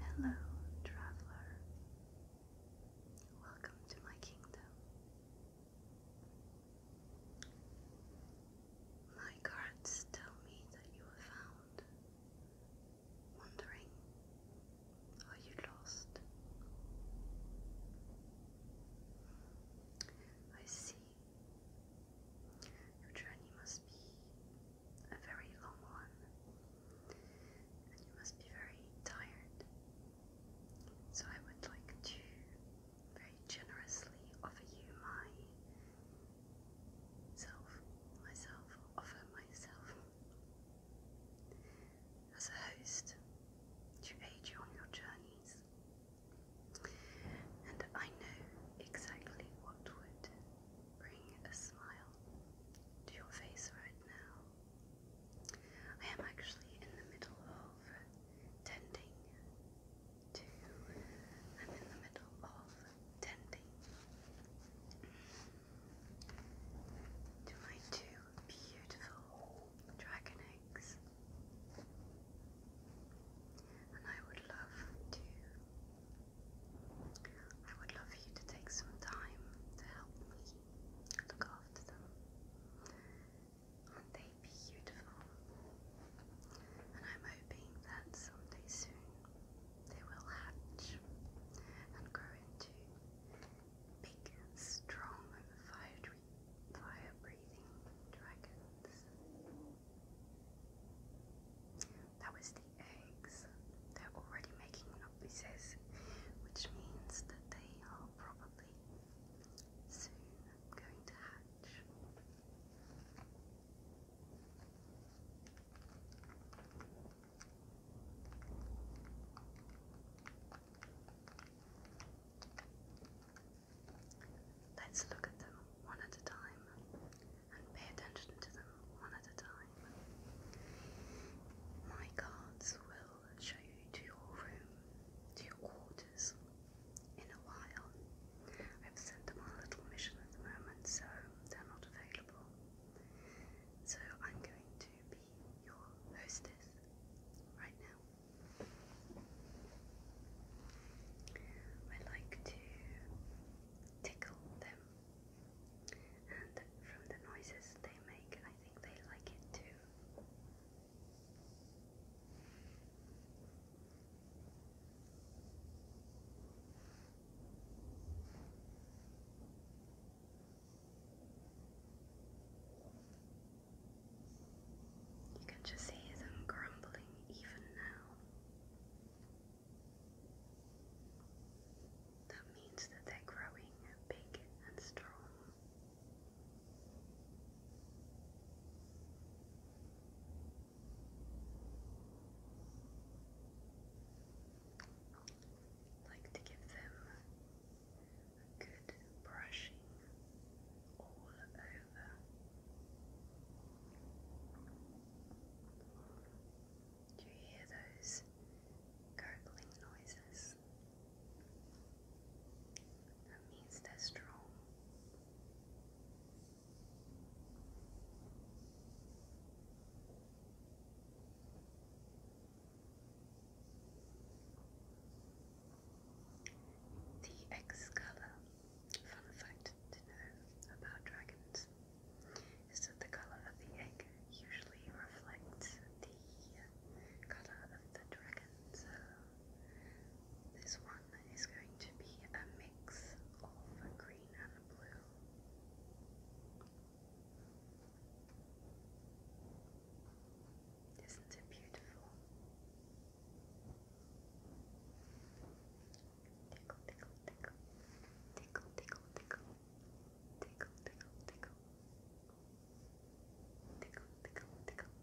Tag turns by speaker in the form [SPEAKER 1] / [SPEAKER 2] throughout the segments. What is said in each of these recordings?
[SPEAKER 1] Hello, traveler. Welcome to my kingdom. My cards tell me that you have found wondering are you lost? I see. Your journey must be a very long one, and you must be very tired. So, I would like to very generously offer you my self, myself, offer myself as a host to aid you on your journeys. And I know exactly what would bring a smile to your face right now. I am actually in the middle of tending to, I'm in the middle of tending to my two beautiful dragon eggs. And I would love to I would love for you to take some time to help me look after them. Aren't they beautiful? And I'm hoping that someday soon they will hatch and grow into big, strong, fire breathing dragons. That was the eggs. They're already making noises, which means that they are probably soon going to hatch. Let's look at them one at a time and pay attention to them one at a time. My cards will show you to your room, to your quarters in a while. I've sent them on a little mission at the moment, so they're not available. So I'm going to be your hostess right now. I like to tickle them, and from the noises they make, I think they like it too. You can just hear them grumbling even now. That means that they're growing big and strong like to give them a good brushing all over. Do you hear those gurgling noises? That means they're strong. The Excalibur. Fun fact to know about dragons is that the color of the egg usually reflects the color of the dragon. So this one is going to be a mix of green and blue. Isn't it beautiful? Tickle, tickle, tickle, tickle, tickle, tickle, tickle, tickle, tickle, tickle, tickle, tickle.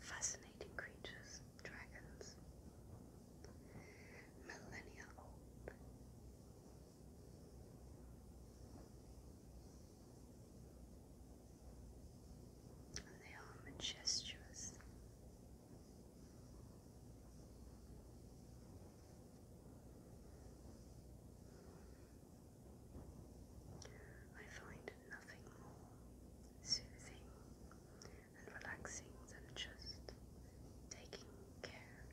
[SPEAKER 1] Fascinating creatures, dragons, millennia old. And they are majestuous. I find nothing more soothing and relaxing than just taking care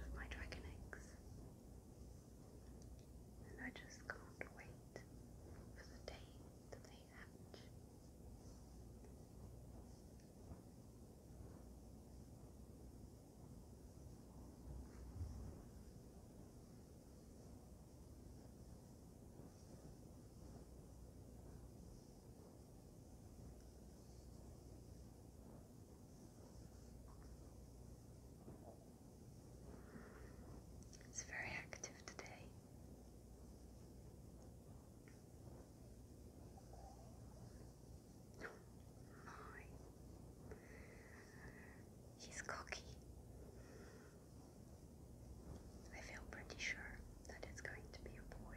[SPEAKER 1] of my dragon eggs. And I just can't wait for the day that they hatch. It's very active today. Oh he's cocky. I feel pretty sure that it's going to be a boy.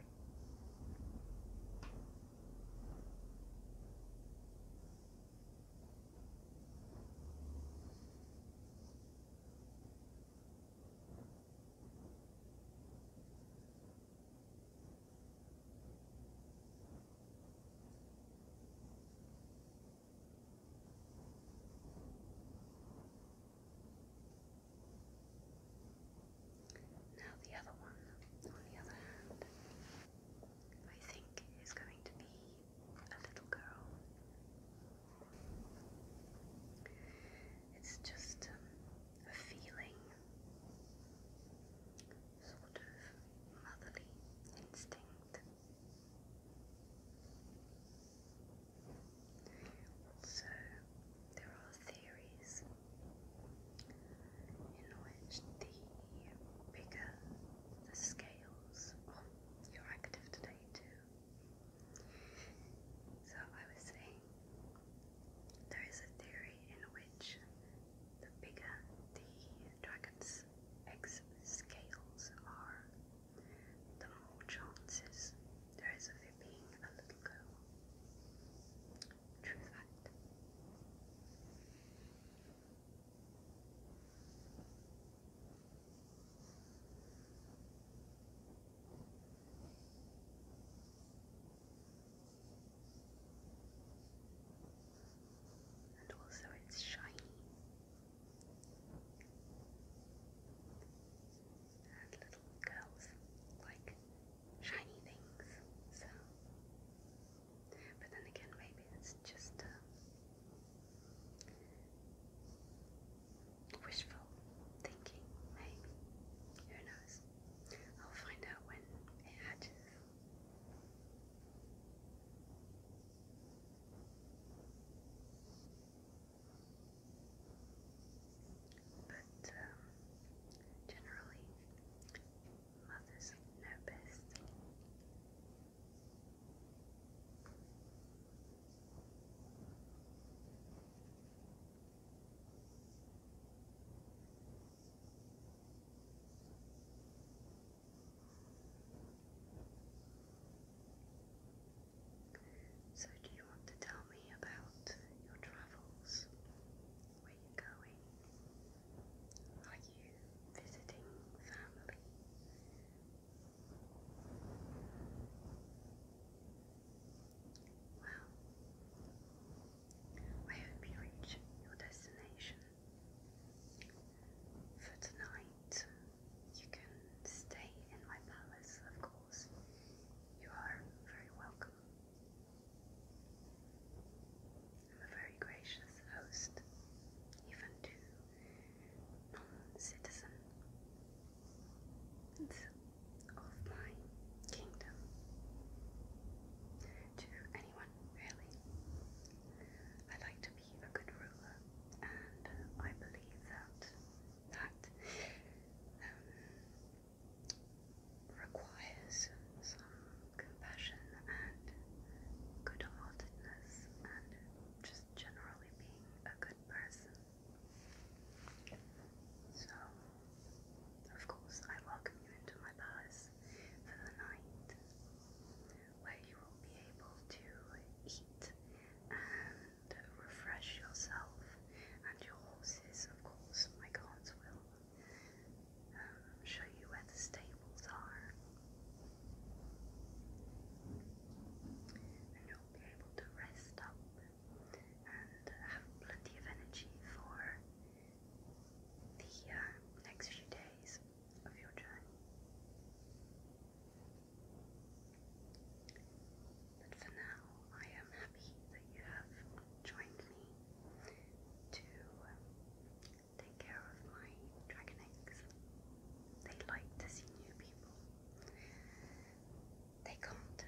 [SPEAKER 1] Now, the other one, on the other hand, I think is going to be a little girl. It's just um, a feeling, sort of motherly instinct. So, there are theories in which the bigger the scales on your active today, too. So, I was saying there is a theory in which the bigger the dragon's X scales are, the more chances there is of it being a little girl. True fact. And also, it's shiny. Has little girls like shiny things, so. But then again, maybe it's just wishful thinking, maybe. Who knows? I'll find out when it hatches. But um, generally, mothers know best. So, do you want to tell me about your travels? Where you're going? Are you visiting family? Well, I hope you reach your destination. For tonight, you can stay in my palace, of course. You are very welcome. I'm a very gracious host, even to non-citizens of my kingdom. To anyone, really. I like to be a good ruler, and I believe that that um, requires some compassion and good-heartedness, and just generally being a good person. So, of course, I welcome you into my palace for the night where you will be able to eat and refresh yourself and your horses, of course. My cards will um, show you where the stables are. And you'll be able to rest up and have plenty of energy for the uh, next few days of your journey. But for now, I am happy that you have joined me to um, take care of my dragon eggs. They like to see new people. They can't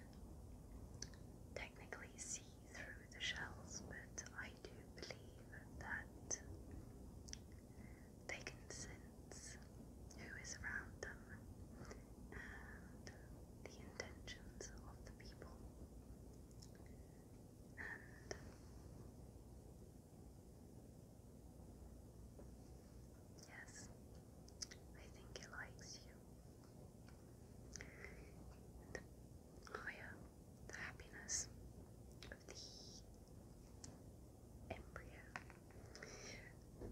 [SPEAKER 1] technically see through the shells, but I do believe that they can sense who is around them and the intentions of the people. And yes, I think it likes you. And, oh the happiness the embryo, the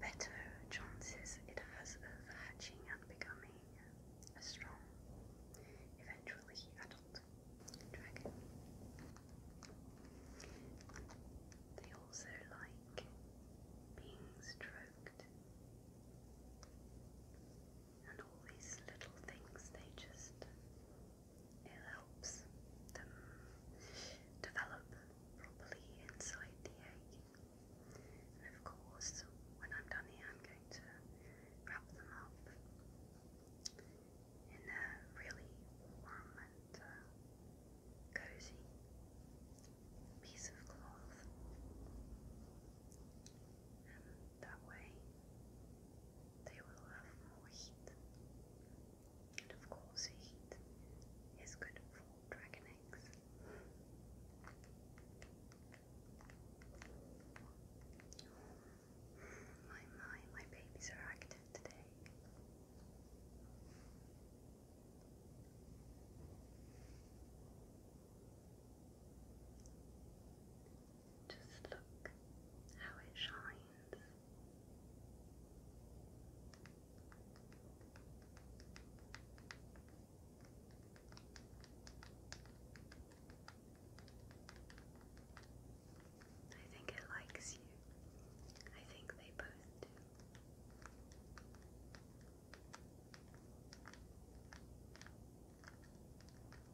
[SPEAKER 1] better chances it has of hatching and becoming a strong, eventually adult dragon. They also like being stroked. And all these little things they just it helps them develop properly inside the egg. And of course, when I'm done here, I'm going to wrap them up in a really warm and uh, cozy piece of cloth. And that way, they will have more heat. And of course, heat is good for dragon eggs. My, my, my babies are active today. Just look how it shines. I think it likes you. I think they both do.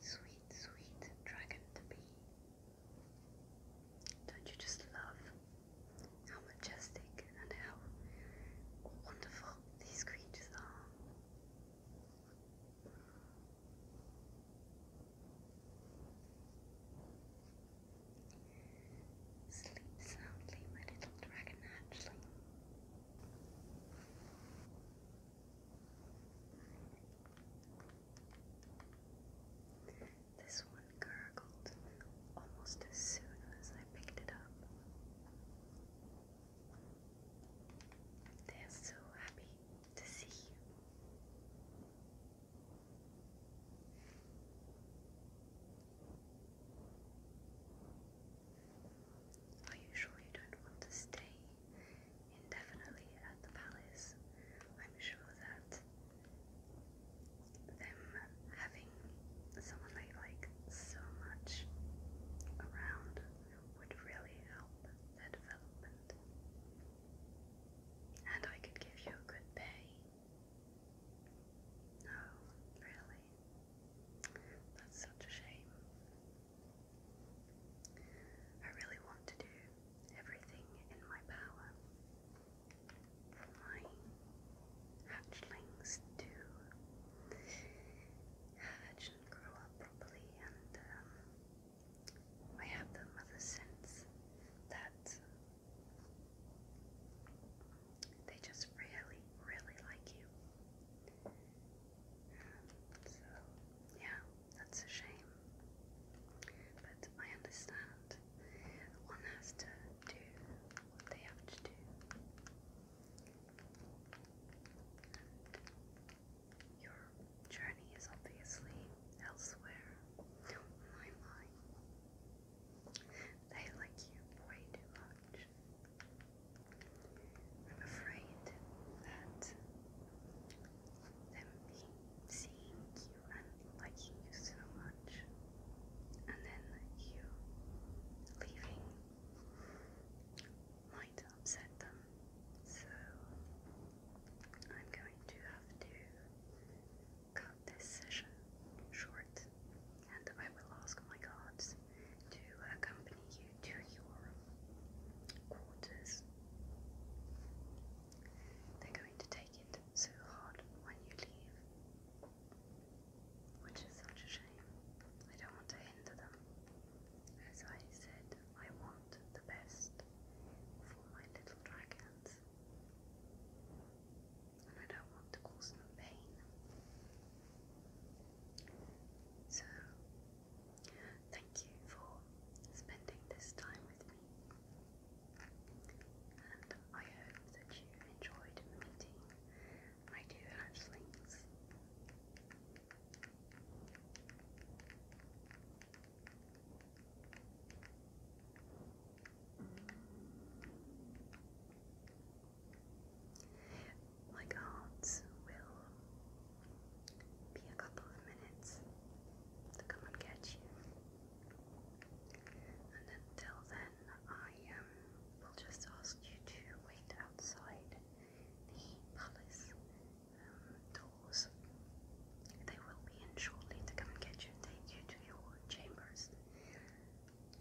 [SPEAKER 1] Sweet, sweet dragon to be. Don't you just love how majestic and how wonderful these creatures are? Sleep soundly, my little dragon hatchling. This one gurgled almost as soon as I picked it up. They're so happy to see you. Are you sure you don't want to stay indefinitely at the palace? I'm sure that them having someone they like so much around would really help their development. And I could give you a good pay no, really. That's such a shame. I really want to do everything in my power for my hatchlings to hatch and grow up properly, and um, I have the mother sense that they just really, really like you. So, yeah, that's a shame. But I understand. One has to do what they have to do. And your journey is obviously elsewhere. Oh my, my. They like you way too much. I'm afraid that them seeing you and liking you so much, and then you leaving might upset them. So I'm going to have to cut this session short, and I will ask my gods to accompany you to your quarters. They're going to take it so hard when you leave, which is such a shame. I don't want to hinder them. As I said, I want the best for my little dragons. I don't want to cause them pain. So, thank you for spending this time with me, and I hope that you enjoyed meeting my two hatchlings. Mm. My cards will be a couple of minutes to come and get you. And until then, I um, will just ask you to wait outside the palace um, doors. They will be in shortly to come and get you and take you to your chambers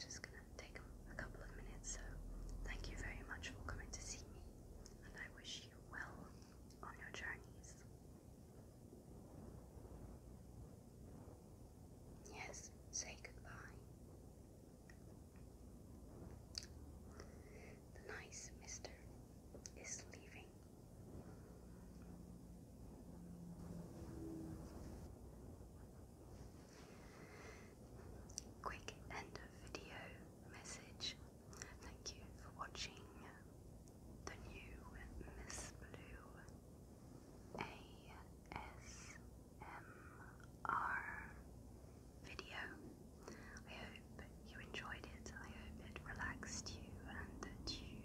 [SPEAKER 1] just gonna take a couple of minutes. So, thank you very much for coming to see me, and I wish you well on your journeys. Yes, say goodbye. The nice mister is leaving. Quick end of video message. Thank you for watching the new Miss Blue ASMR video. I hope you enjoyed it. I hope it relaxed you and that you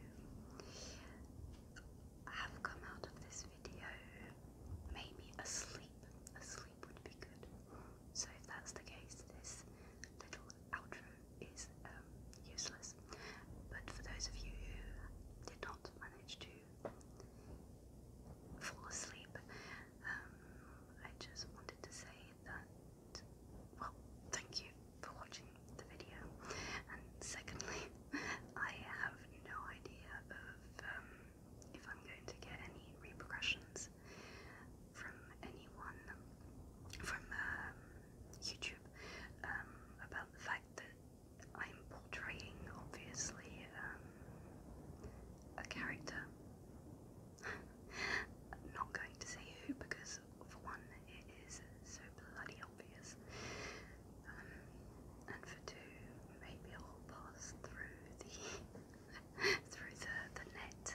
[SPEAKER 1] have come out of this video, maybe asleep. Asleep would be good. So if that's the case, this little outro is um, useless. But for those of you who did not manage to fall asleep, um, I just wanted to say that, well, thank you for watching the video. And secondly, I have no idea of um, if I'm going to get any repercussions from anyone from um, YouTube um, about the fact that I'm portraying, obviously, um, a character. I'm not going to say who because, for one, it is so bloody obvious obvious. Um, and for two, maybe I'll pass through the through the, the net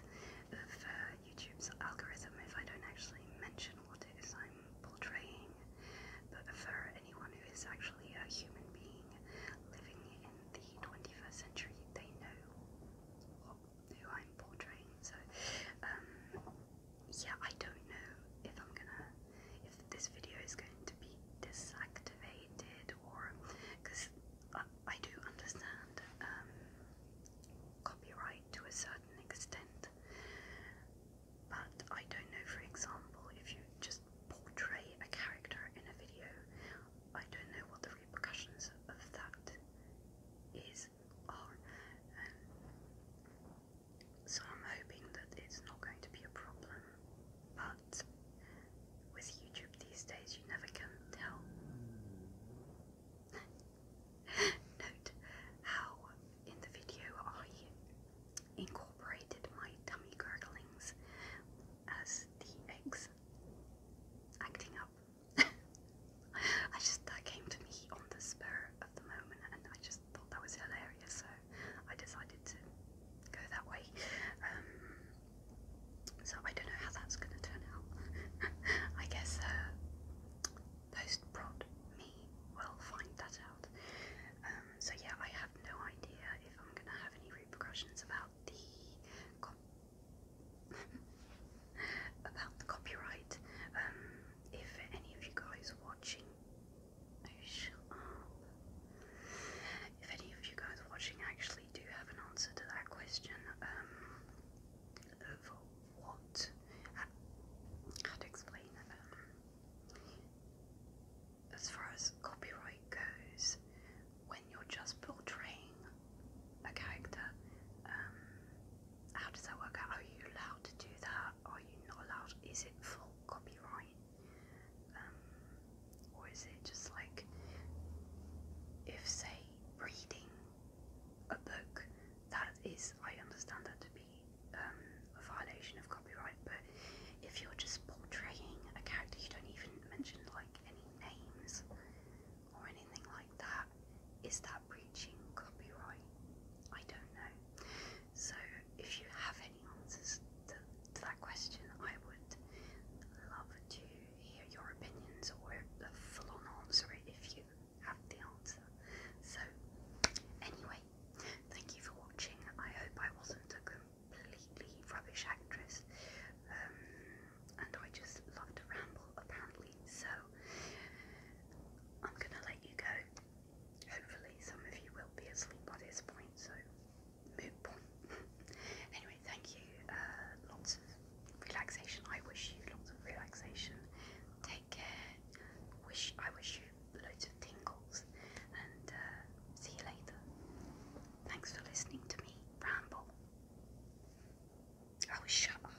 [SPEAKER 1] of uh, YouTube's algorithm if I don't actually mention what it is I'm portraying. But for anyone who is actually a human being living in the 21st century, they know who I'm portraying. So um, yeah, I don't know if I'm gonna, if this video is going to be deactivated or, because I, do understand um, copyright to a certain extent, but I don't know, for example, if you just portray a character in a video, I don't know what the repercussions of that is, are. Um, so I'm hoping that it's not going to be a problem. But with YouTube these days, you never can tell. Note how in the video I incorporated my tummy gurglings as the eggs acting up. I just that came to me on the spur of the moment, and I just thought that was hilarious. So I decided to go that way. Um, so I don't know how that's going to turn out. I guess post-prod uh, me will find that out. Um, so yeah, I have no idea if I'm going to have any repercussions about the about the copyright. Um, if any of you guys watching if any of you guys watching actually do have an answer to that question, um, of what, how to explain it, um, as far as copyright goes, when you're just portraying a character, um, how does that work out? Are you allowed to do that? are you not allowed? Is it full copyright? Um, or is it just like if say reading a book that is I understand that to be um, a violation of copyright, but if you're just portraying a character you don't even mention like any names or anything like that, is that breaching copyright? I don't know. So, if you have any answers to, that question, I would love to hear your opinions or a full on answer if you have the answer. So, anyway, thank you for watching. I hope I wasn't a completely rubbish actress, um, and I just love to ramble apparently. So, I'm gonna let you go. Hopefully, some of you will be asleep by this point, so anyway, thank you. Uh, lots of relaxation. I wish you lots of relaxation. Take care. Wish I wish you loads of tingles, and uh, see you later. Thanks for listening to me ramble. Oh, shut up.